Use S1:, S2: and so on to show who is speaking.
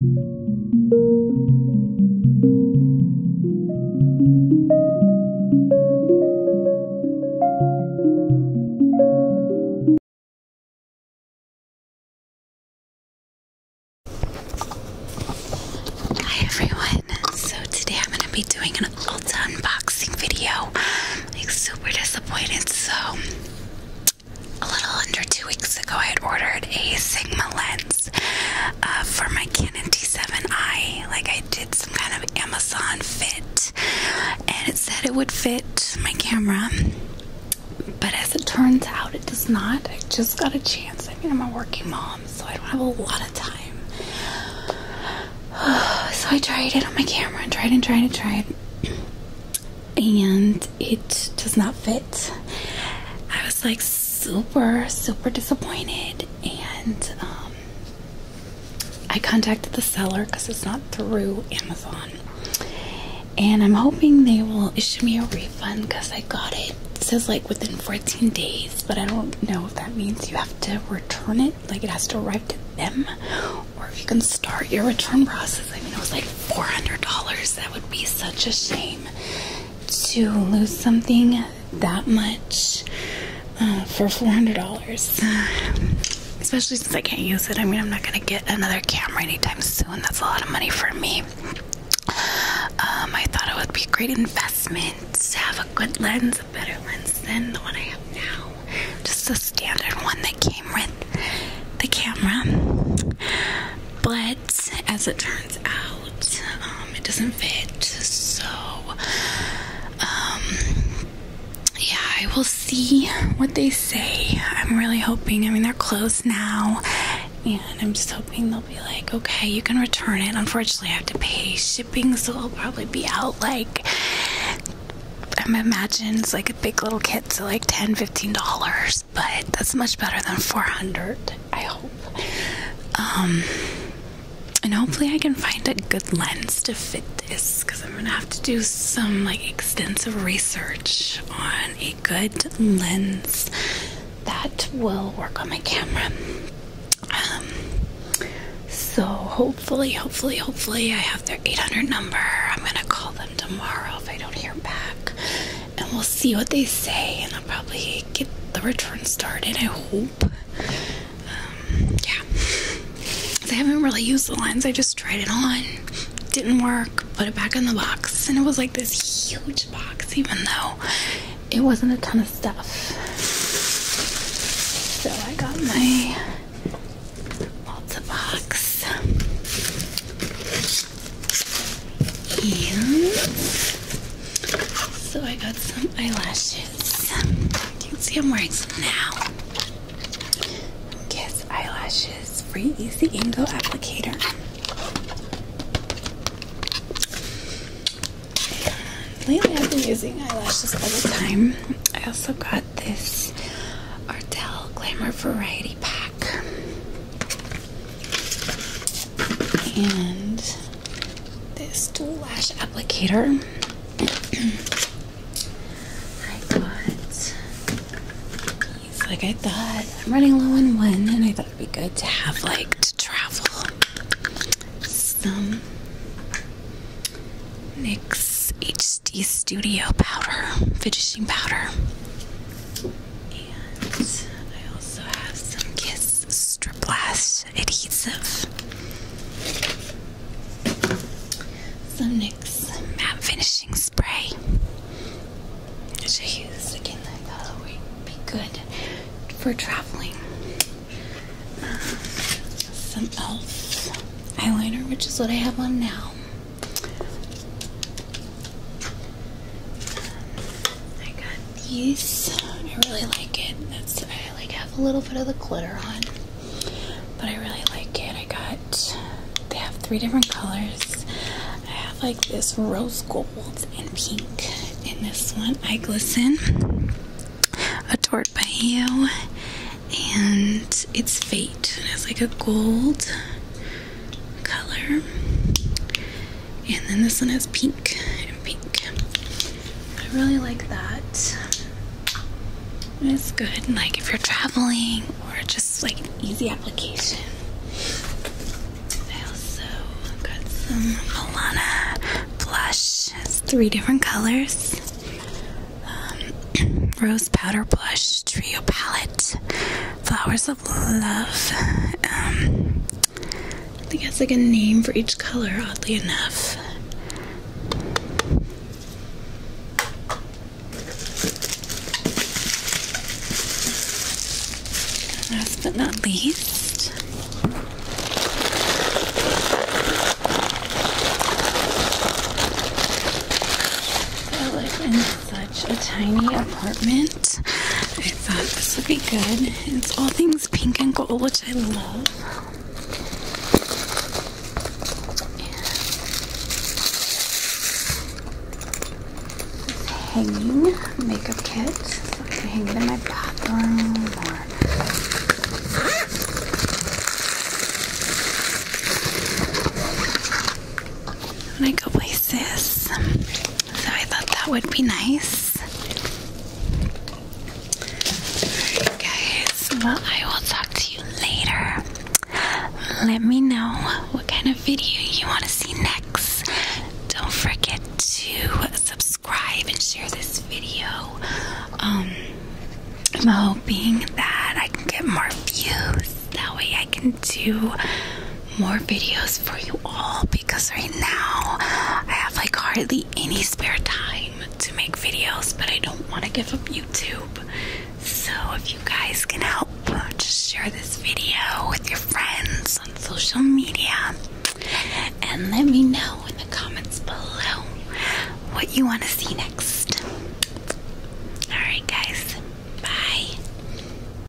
S1: Hi everyone. So today I'm going to be doing an Ulta unboxing video. Like super disappointed. So a little under two weeks ago, I had ordered a Sigma lens uh, for my Canon D7i. Like I did some kind of Amazon fit, and it said it would fit my camera, but as it turns out, it does not. I just got a chance. I mean, I'm a working mom, so I don't have a lot of time. So I tried it on my camera and tried and tried and tried and it does not fit. I was like super, super disappointed, and um, I contacted the seller because it's not through Amazon. And I'm hoping they will issue me a refund because I got It says like within 14 days, but I don't know if that means you have to return it, like it has to arrive to them, or if you can start your return process. I mean, it was like $400. That would be such a shame to lose something that much uh, for $400. Especially since I can't use it. I mean, I'm not going to get another camera anytime soon. That's a lot of money for me. Um, I thought it would be a great investment to have a good lens, a better lens than the one I have now just the standard one that came with the camera. But as it turns out, um, it doesn't fit. So, um, yeah, I will see what they say. I'm really hoping. I mean, they're closed now, and I'm just hoping they'll be like, okay, you can return it. Unfortunately, I have to pay so i will probably be out like I'm imagining it's like a big little kit, so like 10 15 dollars, but that's much better than 400. I hope. Um, and hopefully, I can find a good lens to fit this because I'm gonna have to do some like extensive research on a good lens that will work on my camera. Um, so hopefully, hopefully, hopefully, I have their 800 number. I'm gonna call them tomorrow if I don't hear back, and we'll see what they say. And I'll probably get the return started. I hope. Um, yeah, I haven't really used the lens. I just tried it on. Didn't work. Put it back in the box, and it was like this huge box, even though it wasn't a ton of stuff. So I got my Ulta box. And so I got some eyelashes. You can see I'm wearing some now. Kiss Eyelashes Free Easy Angle Applicator. Lately I've been using eyelashes all the time. I also got this Ardell Glamour Variety Pack. And this dual lash applicator. I got like I thought. I'm running low on one and I thought it'd be good to have like to travel some NYX HD Studio powder, finishing powder. And I also have some Kiss Strip Lash adhesive. Some NYX matte finishing spray. So use again like that would be good for traveling. Um, some elf eyeliner, which is what I have on now. Um, I got these. I really like it. I like have a little bit of the glitter on, but I really like it. I got they have three different colors. I have like this rose gold and pink. and this one, I glisten adored by you, and it's fate. It has like a gold color, and then this one has pink and pink. I really like that. It's good, like if you're traveling or just like an easy application. I also got some Milana blush. three different colors. Um, rose Powder Blush Trio Palette. Flowers of Love. Um, I think it's like a name for each color, oddly enough. Last but not least, I live in such a tiny apartment. I thought this would be good. It's all things pink and gold, which I love hanging makeup kit. I can hang it in my bathroom or when I places. So I thought that would be nice. Alright guys, well I will talk to you later. Let me know what kind of video you want to see next. Don't forget to subscribe and share this video. Um, I'm hoping that I can get more views. That way I can do more videos for you all because right now I have like hardly any spare time to make videos, but I don't want to give up YouTube. So if you guys can help, just share this video with your friends on social media and let me know in the comments below what you want to see next. Alright, guys, bye.